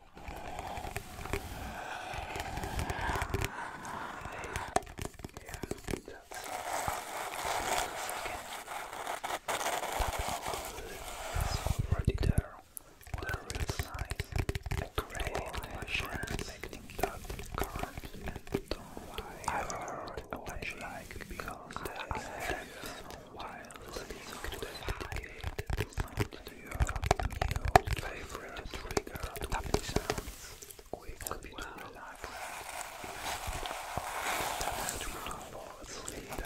already there. There is a great making that current and don't I heard watching because I have some wild dedicated do you have new favorite trigger tapping sounds? Quick, computer life. Tap to fall asleep.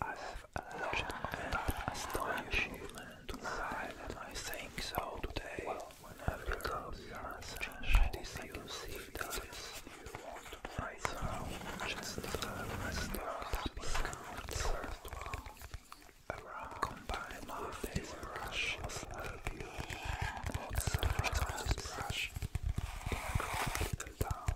I have a legend and astonishment to life, and I think so today. Whenever you are such, this you see this you want to try some, just press the third one combine with this brush, will help you not surprise brush can down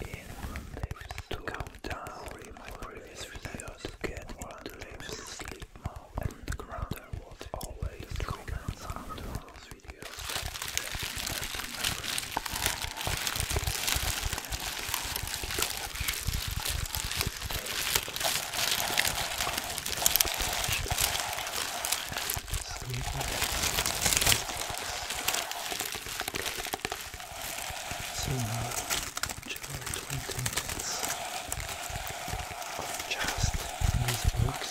in to come down in my previous video to get into lips sleep mode and the ground there was always comments under those videos so now, enjoy 20 minutes of just these books.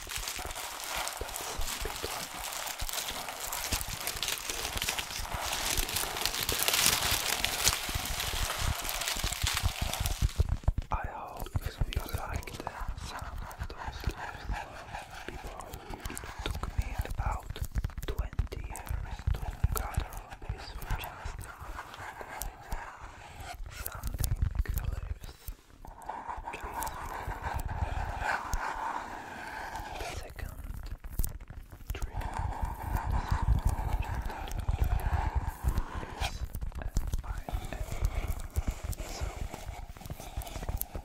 I hope you liked the sound of those people. It took me about 20 years to gather this just something lives Second trigger is by enemy. So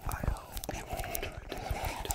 I hope you will enjoy this video.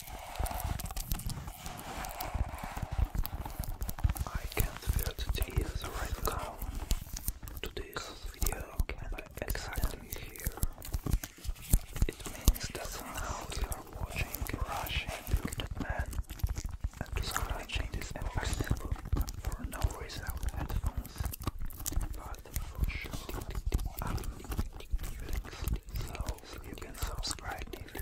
I can't feel the tears right now to this video by exactly here. It means that now you are watching Russian bearded man and scratching this impossible for no reason headphones. But for sure, I'm so you can subscribe if you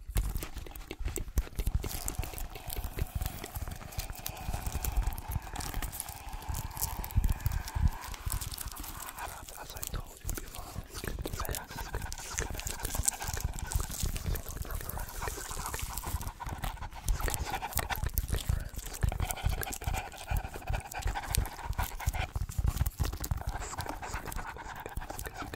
As I told you before,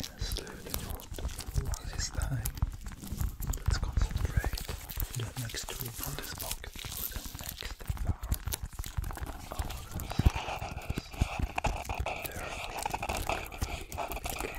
Yes, it is time. Let's concentrate the next two on this pocket. The next part of the surface. There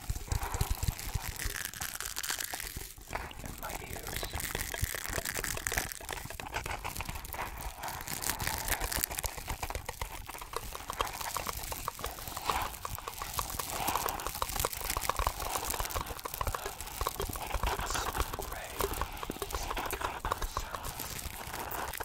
and my ears. It's so great. It's so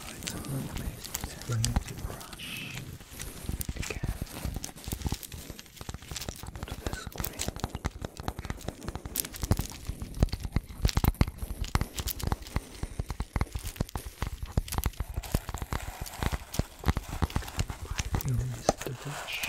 slides on the amazing to brush again to the screen. You missed the brush. You missed the brush.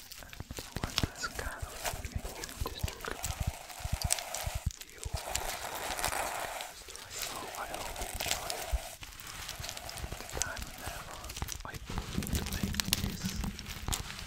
What does God mean in this You So I hope you enjoy the time and effort I put to make this. I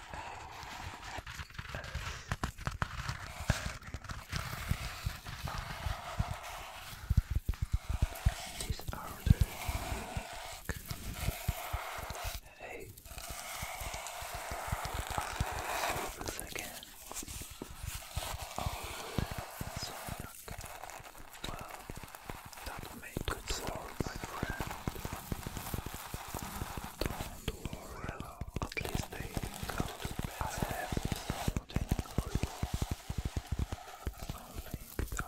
These are the hey, this again. Oh, so well, that made good sound, my friend tomorrow. At least they go to bed and have something real. Something that will put you to sleep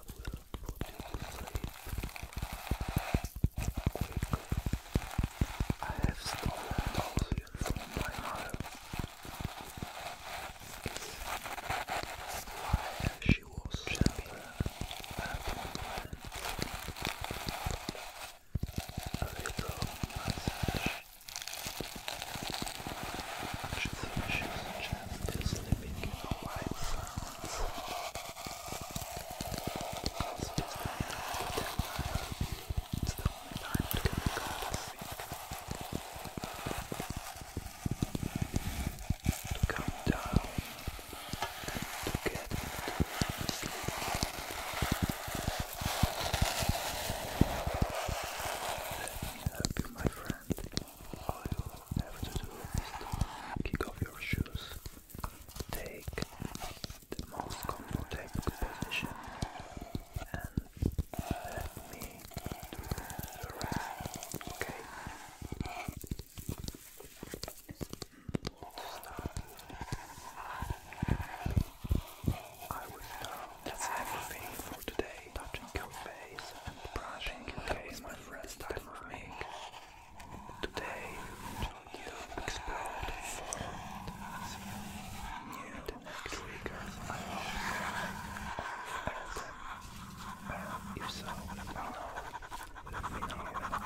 I have stolen those here from my mother. It's why she was gentle and a little massage which refreshes and gently sleeping in a white silence because it's very nice to it's the only time it can be called a sleep to come down and to get into sleep help you, my friend. All you have to do is to kick off your shoes, take the most comfortable position, and uh, let me do the rest. Okay. I will now everything for today. Touching your face and brushing your face, my friends. Time of make today you explode for new triggers. I hope you if so, let me know.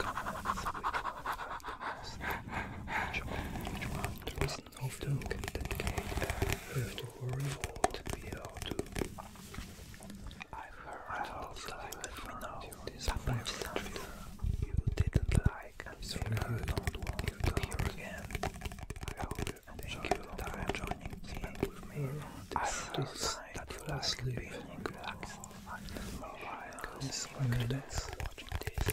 Which one of them can I've something you didn't like and don't want to hear again. you enjoy your time joining me with me. I've heard that you like being relaxed and mobile. Consider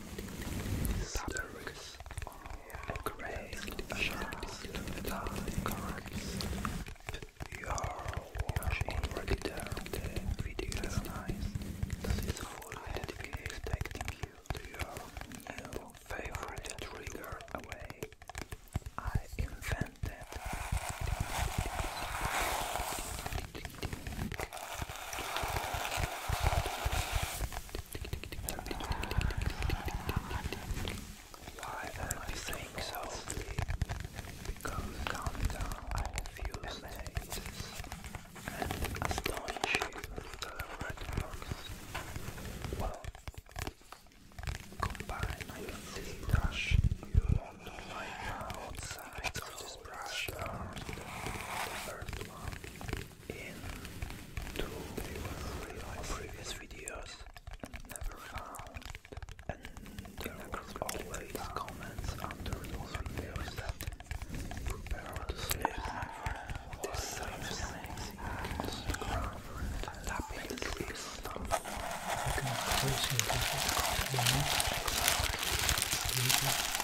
Stars are great sharks You are video. nice. This is fully dedicated you to your favorite trigger away. I invented why am I so? Because countdown I feel amazed and astonished with the red box. Well, combined, I see that you want to find outside of this brush um, the first one in two of previous videos and never found and there was always comments under those videos that prepare to sleep my friend the ground tapping the sleep stomach you can close sleep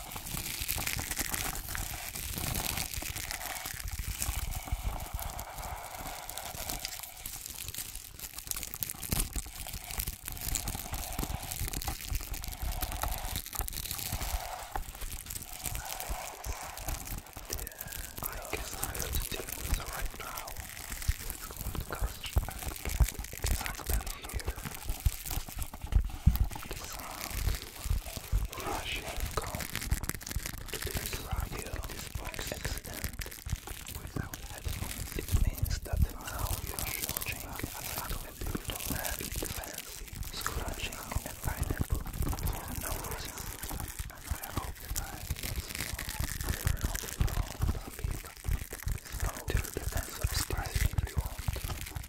I guess I have to deal with it right now. It's called custom. Exactly here. The sound rushing come to this radio, this box accident without headphones. It means that now you are watching a lot of beautiful fancy scratching a pineapple for no reason. And I hope that I am not wrong, but so till the end subscribe if you want.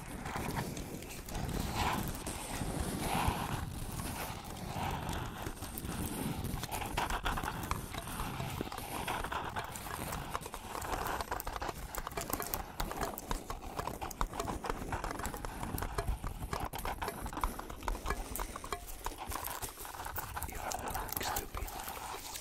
You are relaxed to be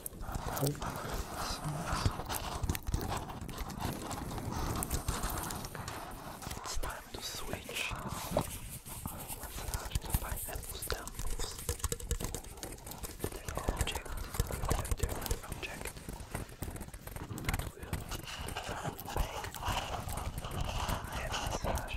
It's time to switch. Massage by apples temples. There's an object, a different object that will make a massage by apples temples.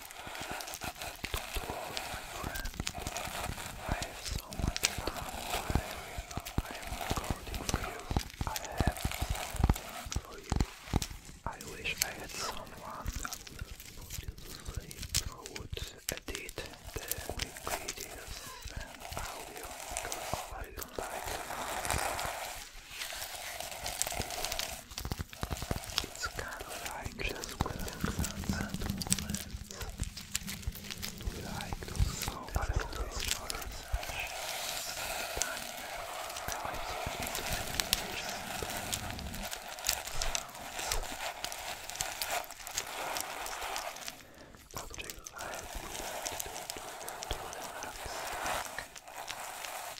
Don't my friend. I have so much fun I am recording for you. I have something for you. I wish I had someone who put you to sleep, who would edit the videos and audio because I like it's kind of like just relaxing and movement. We like to slow but it feels more time I think it's Object I would like to do to relax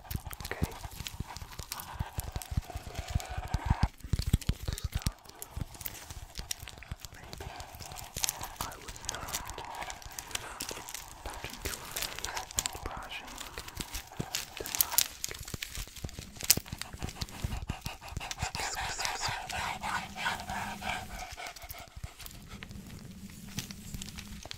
Okay. So, maybe I will start with touching your face and brushing the mic.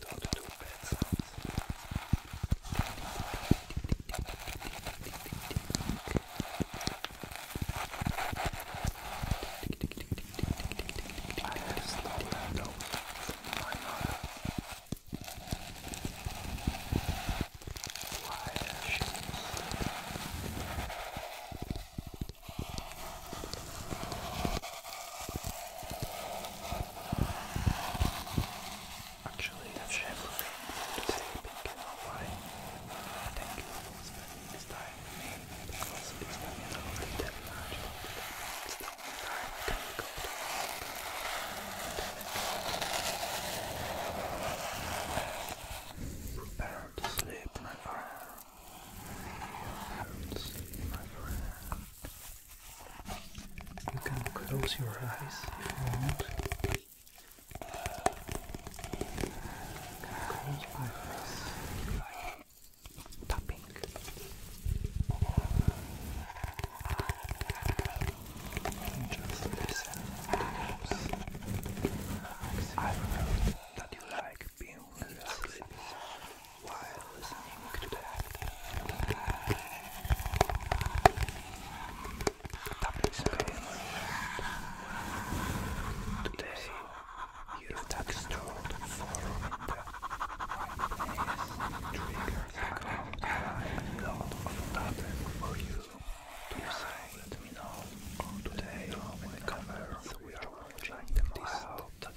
don't do bad sounds. I have stolen a note from my mother. Why has she Actually, that chef would be able to take a picture of why I think he was spending his time with me because he's spending a lot of time with me. It's the only time I can go to work. Prepare to sleep, my friend. Prepare to sleep, my friend. You can close your eyes if you want. just listen to those. I know that you like being with us while listening to that. Topics again. Today, you tax told for it. Triggers a lot of topics for you to Let me know today on the cover we are watching them all. That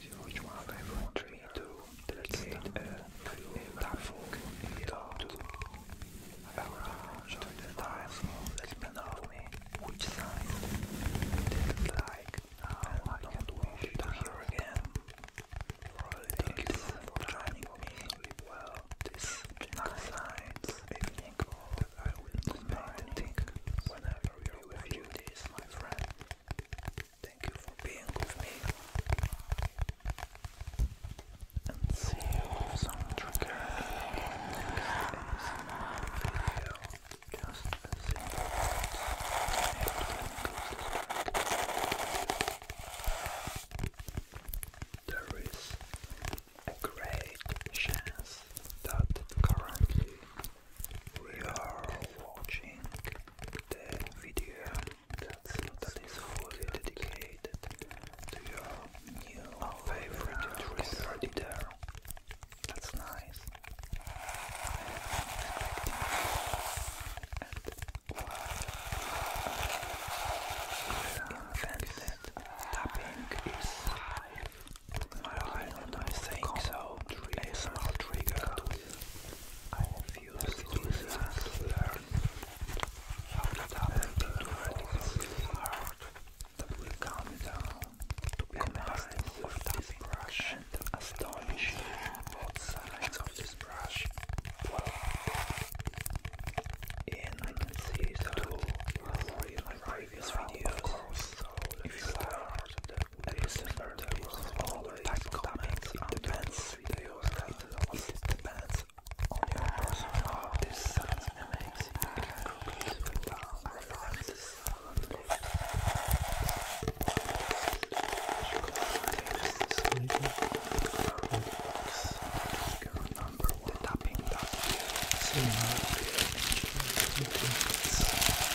you which one I want me to delegate a platform in the art. Around the time of the penalty, which side did like I don't want to hear again. Thanks for joining me. Well, this next night evening that I will be meditating whenever you review this, my friend. Thank you for being with me. And see you with some Just a There is a great chance that currently we are watching the video that's that is fully dedicated to your new oh, favorite research there. That's nice. Invented uh, tapping is live. I do so. A small trigger refuse to learn how to tap into the heart come down to be combined with this brush and astonish both sides of this brush. And I can see that too in my previous videos. If you are the Lucifer uses all types of topics on dance videos it depends on your personal This sounds amazing. It can completely without references. Number one tapping that similar to the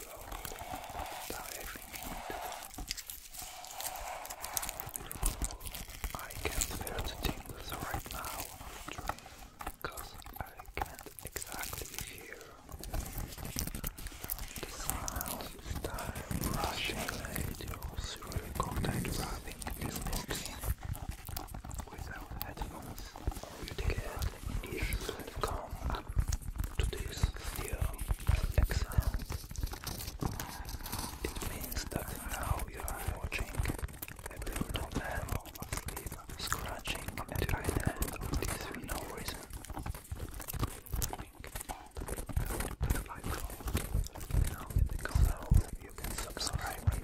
flow diving into I can feel the tingles right now because I can't exactly hear the sound time rushing radios recorded driving this box without headphones Rüdiger is come up to this theorem by It means that now you are watching a brutal man asleep, scratching at right hand of this for no reason. Now in the corner you can subscribe and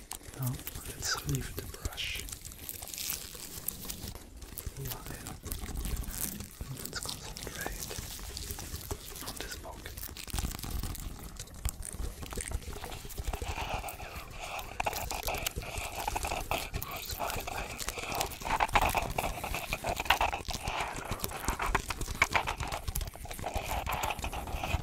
Now let's leave the brush. While let's concentrate on this book.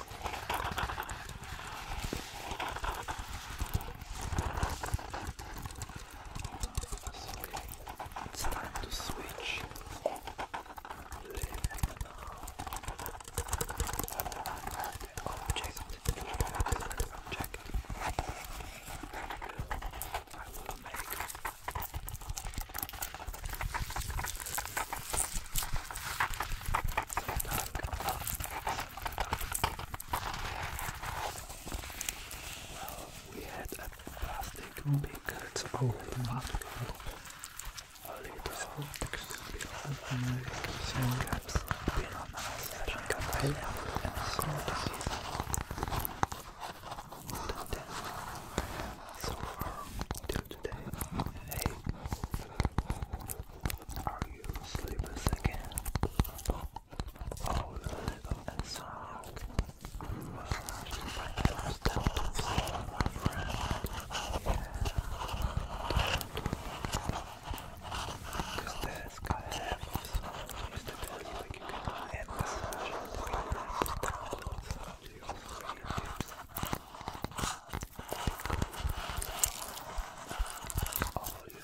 Okay, it's time to switch. Live object. object. I will make some dark, well, we had a plastic picket over that group. A little extremely open some gaps been on us and compelled and courtesy. So um, far till today, hey. Are you sleepless again? Oh, the little and sound. Massage my hands my friend. Because yeah. has got to have It's the best like you can massage your you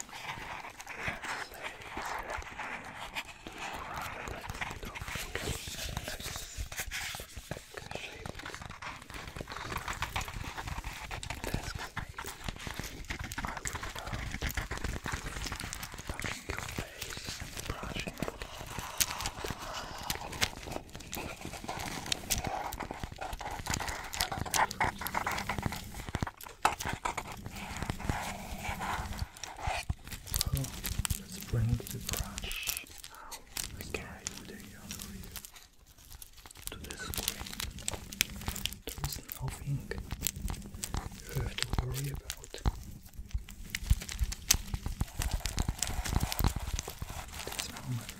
brushing let's bring the brush okay. the to the screen. There is nothing you have to worry about. This moment.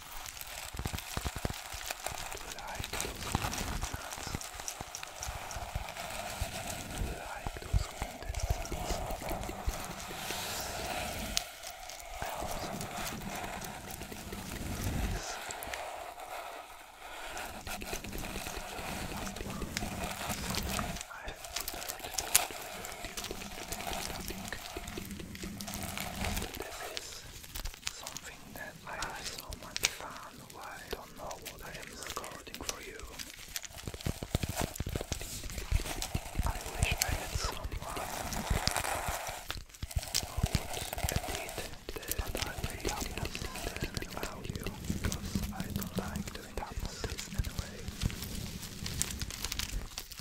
like those candy nuts. Do you like those candy nuts? I also like this. I've put a little bit of this. Something that I have so much fun I don't know what I am recording for you. I wish I had someone who would edit this, but I really didn't allow because I don't like doing this anyway.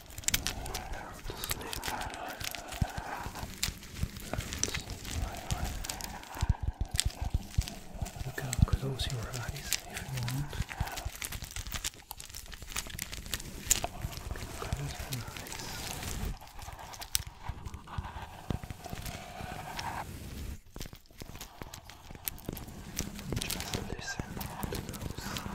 You can close your eyes if you want. Close your eyes. Just listen to those.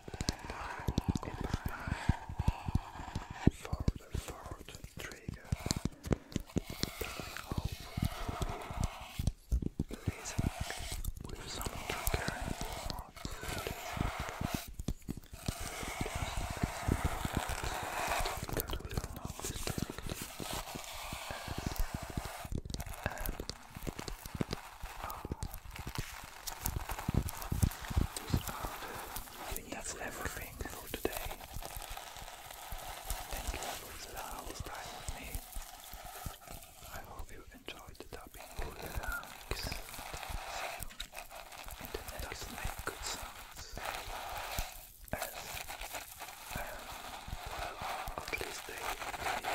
Goodbye. For the fourth trigger, that I hope will be listening with some trigger that will not distract and I think everything for today. Thank you for the hour's time with me. I hope you enjoyed the tapping. Relax. See you in the next good sounds. Um, at least they, they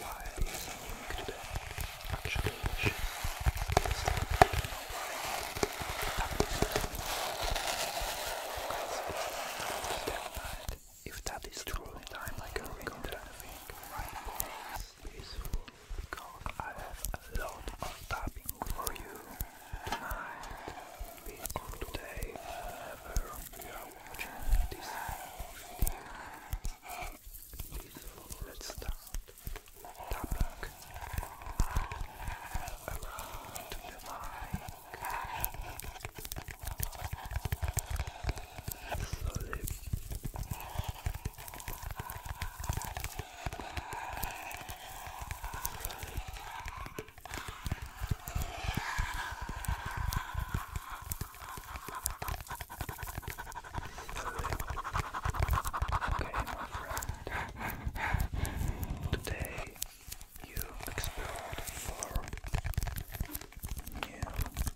why it is linked actually is if that is true, then I'm like a winter right now peaceful because I have a lot of tapping for you tonight or today whenever you are watching this Let's start tapping around the mic slowly. Slowly. Okay, Today you explored for new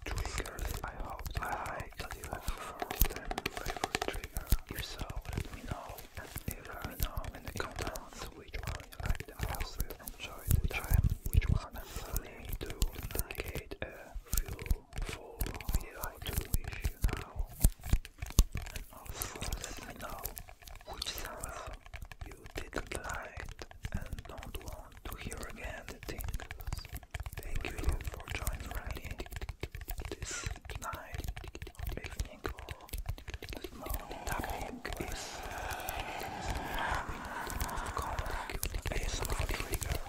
triggers. I hope I that you have them favorite trigger. If let me know. And if you know in the comments which one you like the most, enjoy the time, which one I need to dedicate a few for video to wish you now, and also let know which genre you didn't like and don't want to hear again. Thank you for joining me this night, evening, or this morning. Topic is common ASMR trigger.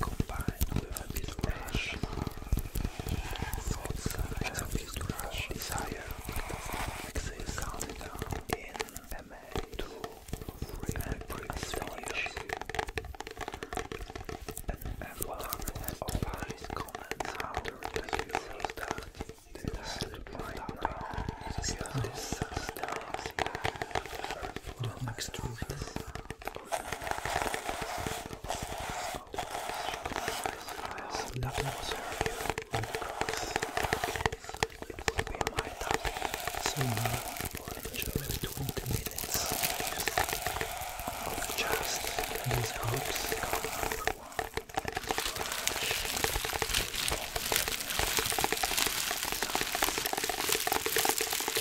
combined with a bit of rush. Thoughts as of rush desire does not exist. in a man to and astonish. An avatar has opined comments after the user's that the absolute mind now is this substance. Earth will Unless nothing was heard on the cross, it would be my topic sooner or in 20 minutes. Or just these hopes come Thank you.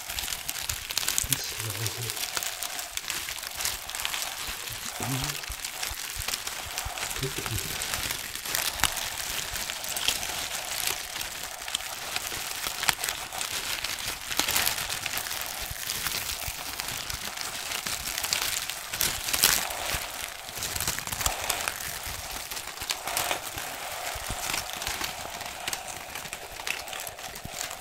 and slowly down to ease.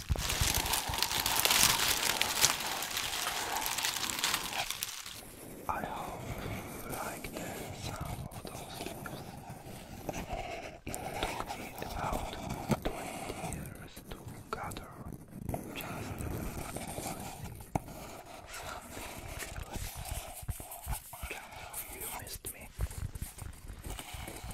I hope you like some of those news. It took me about 20 years to gather just something You missed me.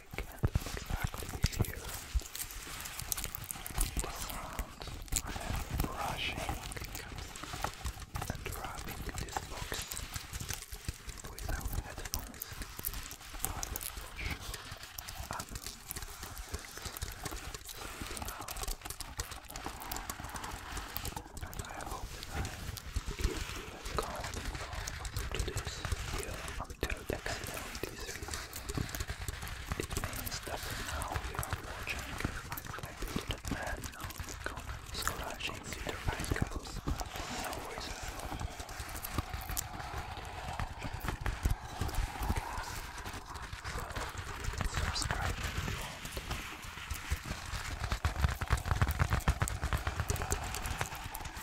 I can't exactly hear the sounds I am brushing and rubbing this box without headphones, I'm sleeping out. And I hope that if you count from today's video until the end of this It means that now you are watching my favorite band scratching their ankles for no reason. So, subscribe if you want.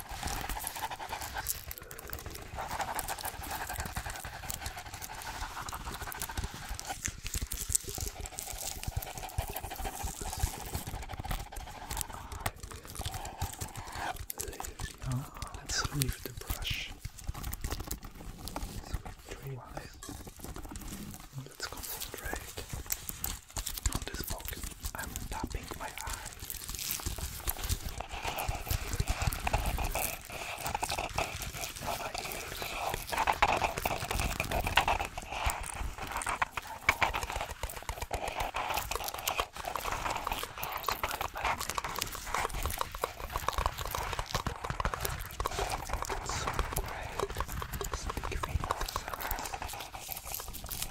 Now let's leave the brush. So let's concentrate on this box. I'm tapping my eyes. So great. Speak fingers.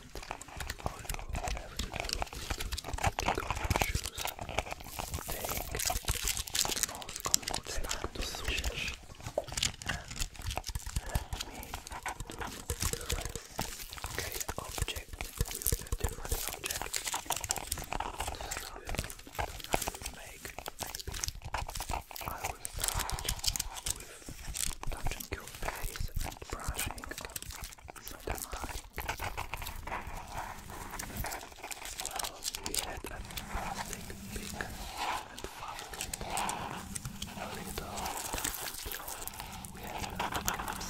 I you have to do is take off shoes, take the most comfortable style to switch, and let me with a different object. This will make maybe I with touching your and brushing well, we had a fantastic, big and A little blow. We a lot of cups.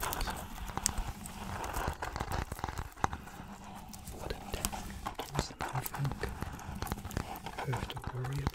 Now it's time for What a tank. It's nothing. You have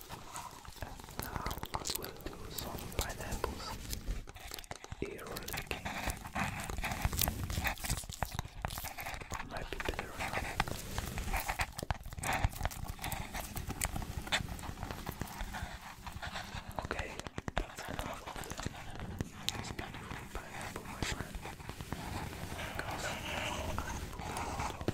And now I will do some pineapples. Here might be better Okay, that's enough of this beautiful pineapple, my friend. Because now I will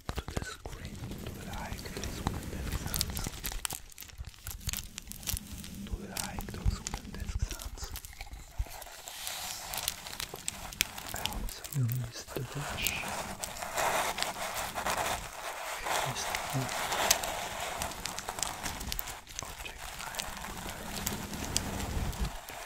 to the screen, to like those wooden desk sounds, to like those wooden desk sounds. I also you missed the brush. Missed the object I prepared.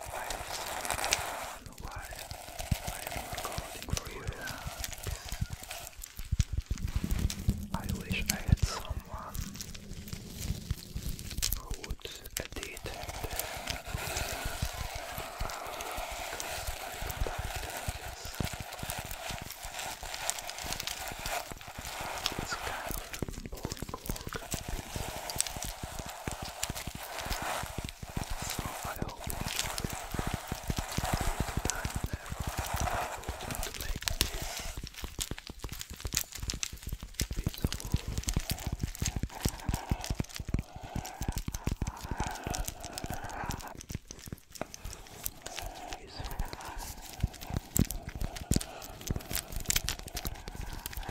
I don't know why I am recording for you. I wish I had someone who would edit the it's kind of boring work. So I hope you enjoyed the time that I was to make this piece of wood.